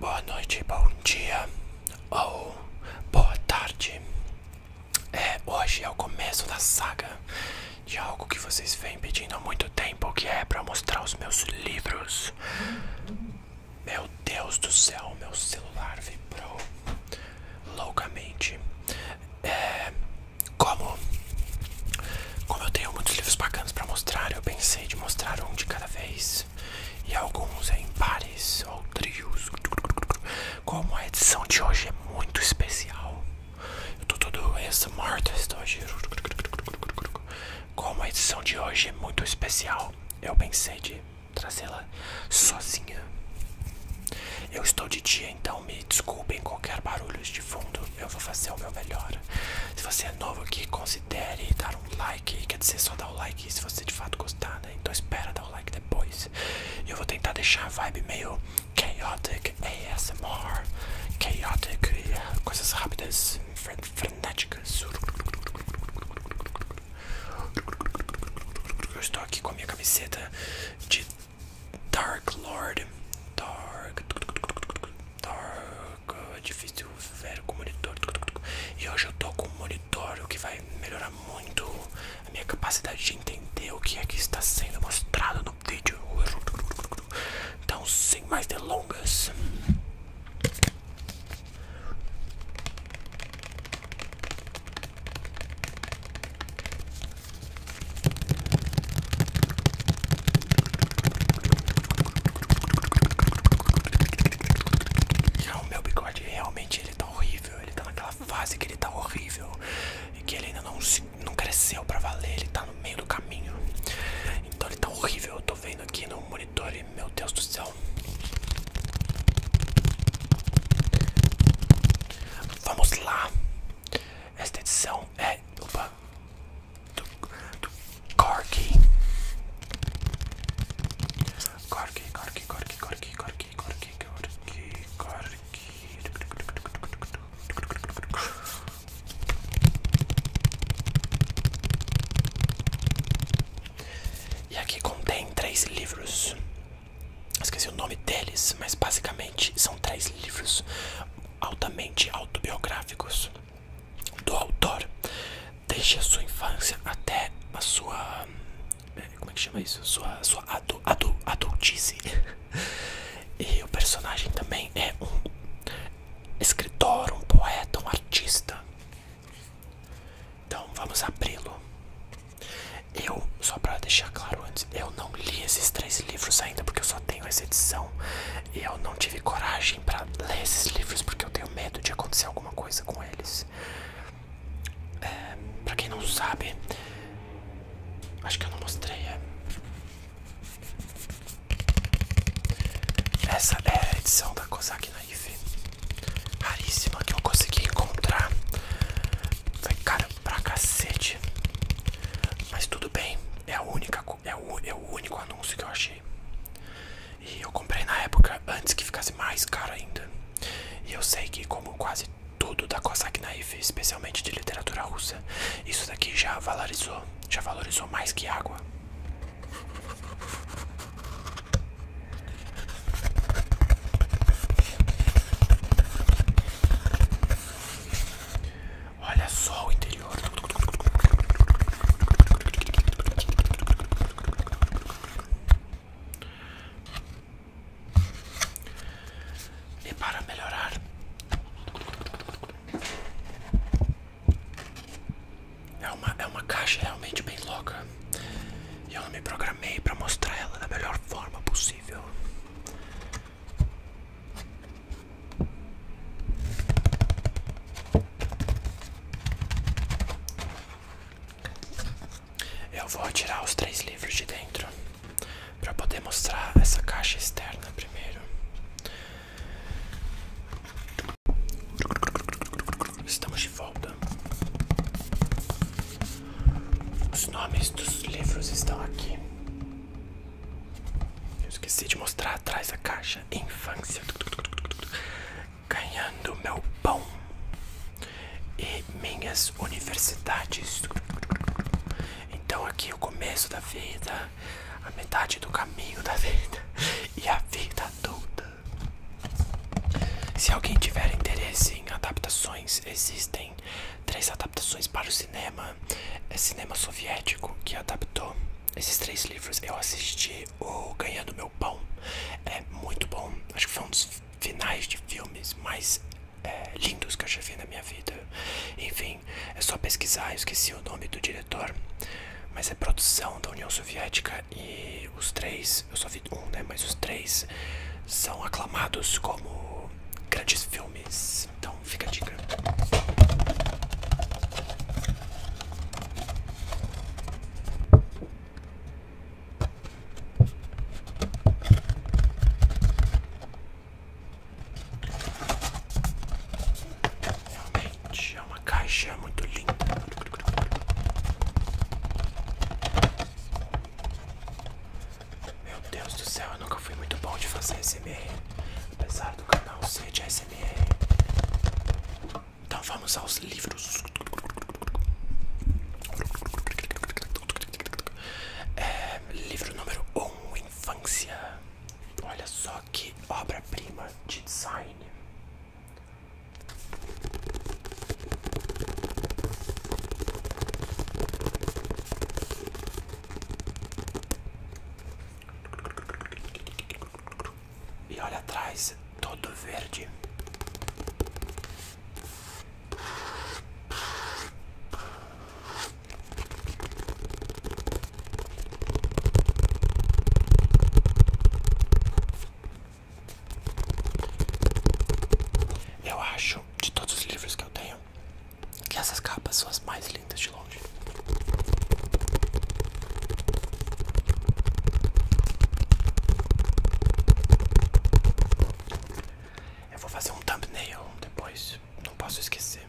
Boa noite, bom dia ou boa tarde. É, hoje é o começo da saga de algo que vocês vêm pedindo há muito tempo, que é para mostrar os meus livros. Meu Deus do céu, meu celular vibrou loucamente. É, como, como eu tenho muitos livros bacanas para mostrar, eu pensei de mostrar um de cada vez e alguns em pares ou trios. Como a edição de hoje é muito especial, eu tô todo essa artist hoje. Como a edição de hoje é muito especial, eu pensei de trazê-la sozinha. Eu estou de dia, então me desculpem qualquer barulho de fundo. Eu vou fazer o meu melhor. Se você é novo aqui, considere dar um like. Quer dizer, só dar o like se você de fato gostar, né? Então espera dar o like depois. Eu vou tentar deixar a vibe meio chaotic ASMR. Chaotic, coisas rápidas, frenéticas. Eu estou aqui com a minha camiseta de Dark Lord. Dark. Dark. É difícil ver com o monitor. E hoje eu tô com um monitor o que vai melhorar muito a minha capacidade de entender o que é que está sendo mostrado no vídeo. Então, sem mais delongas. Ah, o meu bigode realmente ele tá horrível. Ele tá naquela fase que ele tá horrível e que ele ainda não, não cresceu pra valer. Ele tá no meio do caminho. Então ele tá horrível. Eu tô vendo aqui no monitor e meu Deus do céu. Vamos lá. Esta edição é opa, do, do Corky. Corky, Corky, Corky, Corky, Corky, Corky, Corky, Corky. E aqui contém três livros. Esqueci o nome deles, mas basicamente são três livros altamente autobiográficos do autor, desde a sua infância até a sua. É, como é que chama isso? Sua, sua adu, adu, adultice. E o personagem também é um escritor, um poeta, um artista então vamos abri-lo. Eu, só para deixar claro antes, eu não li esses três livros ainda porque eu só tenho essa edição. E eu não tive coragem para ler esses livros porque eu tenho medo de acontecer alguma coisa com eles. É, para quem não sabe, acho que eu não mostrei. É. Essa é a edição da Kozak Naif raríssima que eu consegui encontrar. vai cara pra cacete. Mas tudo bem, é a única é, é o, único anúncio que eu achei. E eu comprei na época antes que ficasse mais caro ainda. E eu sei que como quase tudo da Cossack Naif, especialmente de literatura russa, isso daqui já valorizou, já valorizou mais que água. Olha só o interior. E para melhorar, é uma, é uma caixa realmente bem louca. E eu me programei para mostrar ela da melhor forma possível. Eu vou tirar os três livros de dentro para poder mostrar essa caixa externa primeiro. Estamos de volta. Os nomes dos livros estão aqui. Eu esqueci de mostrar atrás a caixa. Infância. Ganhando meu pão. E minhas universidades. Então aqui é o começo da vida, a metade do caminho da vida e a vida toda. Se alguém tiver interesse em adaptações, existem três adaptações para o cinema. É cinema soviético que adaptou esses três livros. Eu assisti o Ganhando Meu Pão. É muito bom. Acho que foi um dos finais de filmes mais é, lindos que eu já vi na minha vida. Enfim, é só pesquisar. esqueci o nome do diretor mas é produção da União Soviética e os três, eu só vi um, né? Mas os três são aclamados como grandes filmes. Então fica a dica. Realmente é um uma caixa muito linda. Meu Deus do céu, eu nunca fui muito bom de fazer ASMR, apesar do canal ser de ASMR. Então vamos aos livros. É, livro número 1, um, Infância. Olha só que obra-prima de design. E olha atrás, todo verde. Eu acho, de todos os livros que eu tenho, que essas capas são as mais lindas de longe. Eu vou fazer um thumbnail depois, não posso esquecer.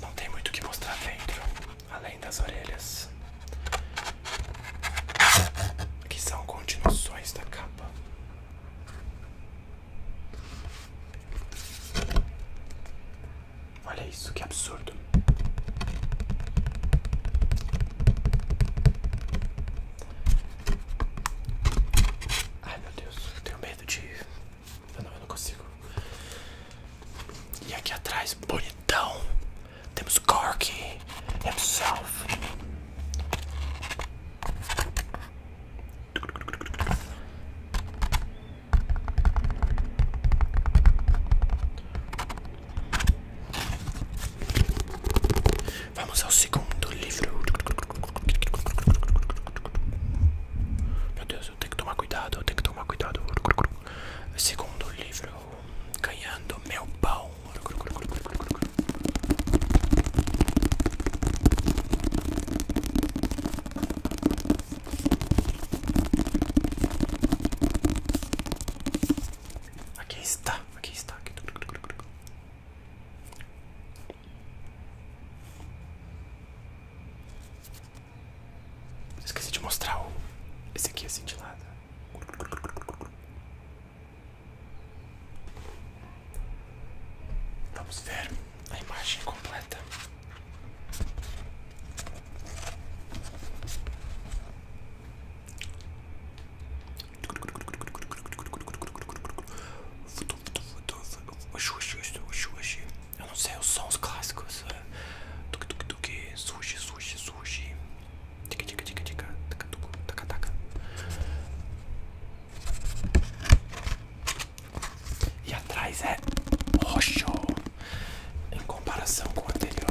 Não tem muito o que mostrar dentro, além das orelhas, que são continuações da capa. Olha isso, que absurdo. Ai meu Deus, tenho medo de. não, não consigo. E aqui atrás, bonitão, temos Cork Self. Vamos ao segundo livro. Meu Deus, eu tenho que tomar cuidado, eu tenho que tomar cuidado. Segundo livro, ganhando meu pau. Aqui está, aqui está. Esqueci de mostrar o. Esse aqui é assim, cintilada. Vamos ver a imagem completa. Eu não sei os sons clássicos. Tuk é. tuk tuk, sushi, sushi, sushi. Tica tica tica tica, taca taca taca. E atrás é roxo em comparação com o anterior.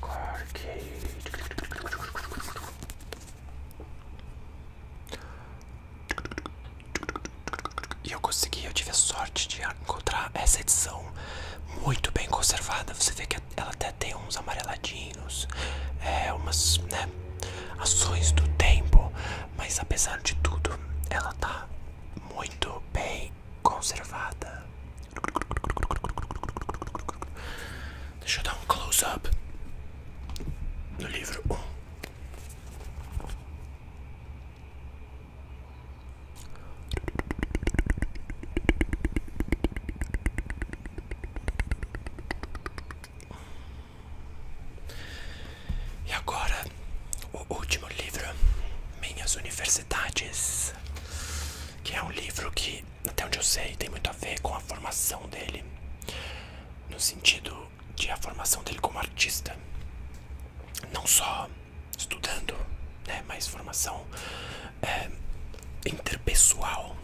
Corky. E eu consegui, eu tive a sorte de encontrar essa edição muito bem conservada. Você vê que ela até tem uns amareladinhos, é, umas né, ações do tempo, mas apesar de tudo, ela tá muito bem conservada. Deixa eu dar um close-up no livro Um. E agora o último livro, Minhas Universidades, que é um livro que até onde eu sei, tem muito a ver com a formação dele, no sentido de a formação dele como artista, não só estudando, né, mas formação é, interpessoal,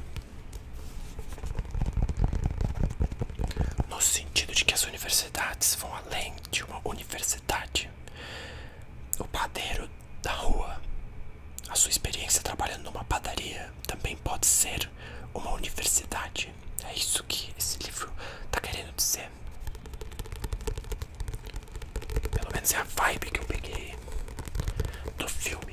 no sentido de que as universidades vão além de uma universidade. O padeiro da rua. A sua experiência trabalhando numa padaria também pode ser uma universidade. É isso que esse livro está querendo dizer. Pelo menos é a vibe que eu peguei do filme.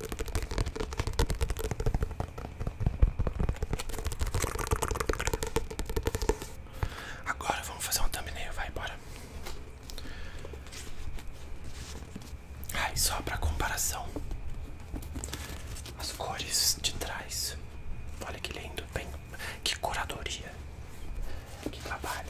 Agora vamos fazer um thumbnail, vai embora. Ai, só para comparação. As cores de trás. Olha que lindo, bem, que curadoria. Que trabalho.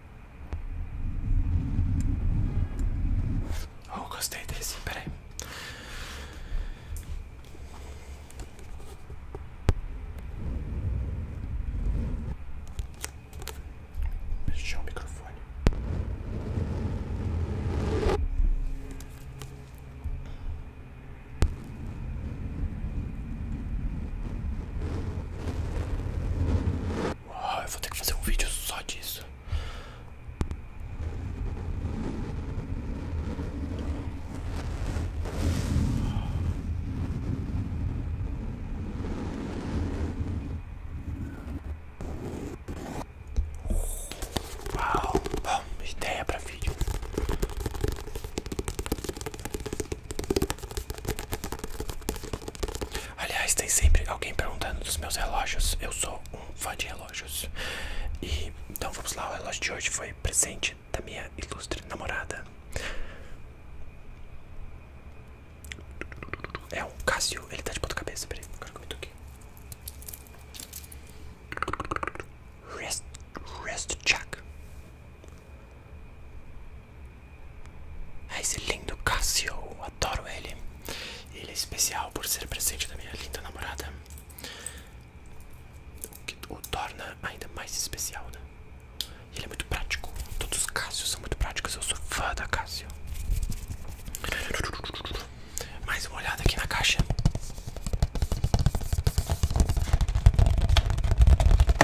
Oh, gostei desse, peraí. Fechou o microfone. Ah, vou ter que fazer um vídeo só disso. Uau, bom, ideia para vídeo. Aliás, tem sempre alguém perguntando dos meus relógios. Eu sou um fã de relógios. E então vamos lá, o relógio de hoje foi presente da minha ilustre namorada. É um Casio, ele tá de ponta cabeça, peraí, agora que eu me Rest, rest check. É esse lindo Cássio, adoro ele. Ele é especial por ser presente da minha linda namorada. O que o torna ainda mais especial, né? Ele é muito prático. Todos os Cássios são muito práticos. Eu sou fã da Cássio. Mais uma olhada aqui na caixa.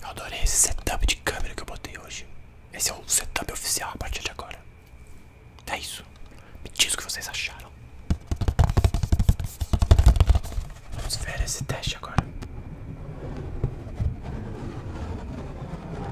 Eu adorei esse setup de câmera que eu botei hoje. Esse é o setup oficial a partir de agora. É isso. Me diz o que vocês acharam. Vamos ver esse teste agora.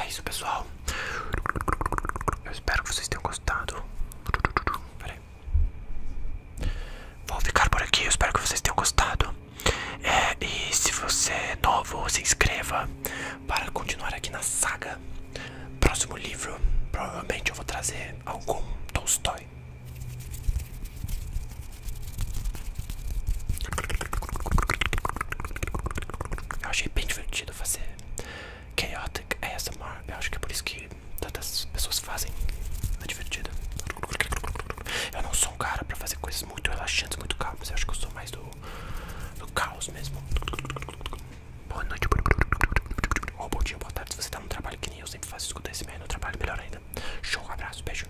É isso, pessoal. Eu espero que vocês tenham gostado. Vou ficar por aqui. Eu espero que vocês tenham gostado. É, e se você é novo, se inscreva para continuar aqui na saga. Próximo livro, provavelmente eu vou trazer algum Tolstói. Eu achei bem divertido fazer Chaotic ASMR. Eu acho que é por isso que tantas pessoas fazem. É divertido. Eu não sou um cara pra fazer coisas muito relaxantes, muito calmas. Eu acho que eu sou mais do, do caos mesmo. Boa noite, ou bom dia, boa tarde. Se você tá no trabalho que nem eu sempre faço, escuta esse meio no trabalho, melhor ainda. Show, abraço, beijo.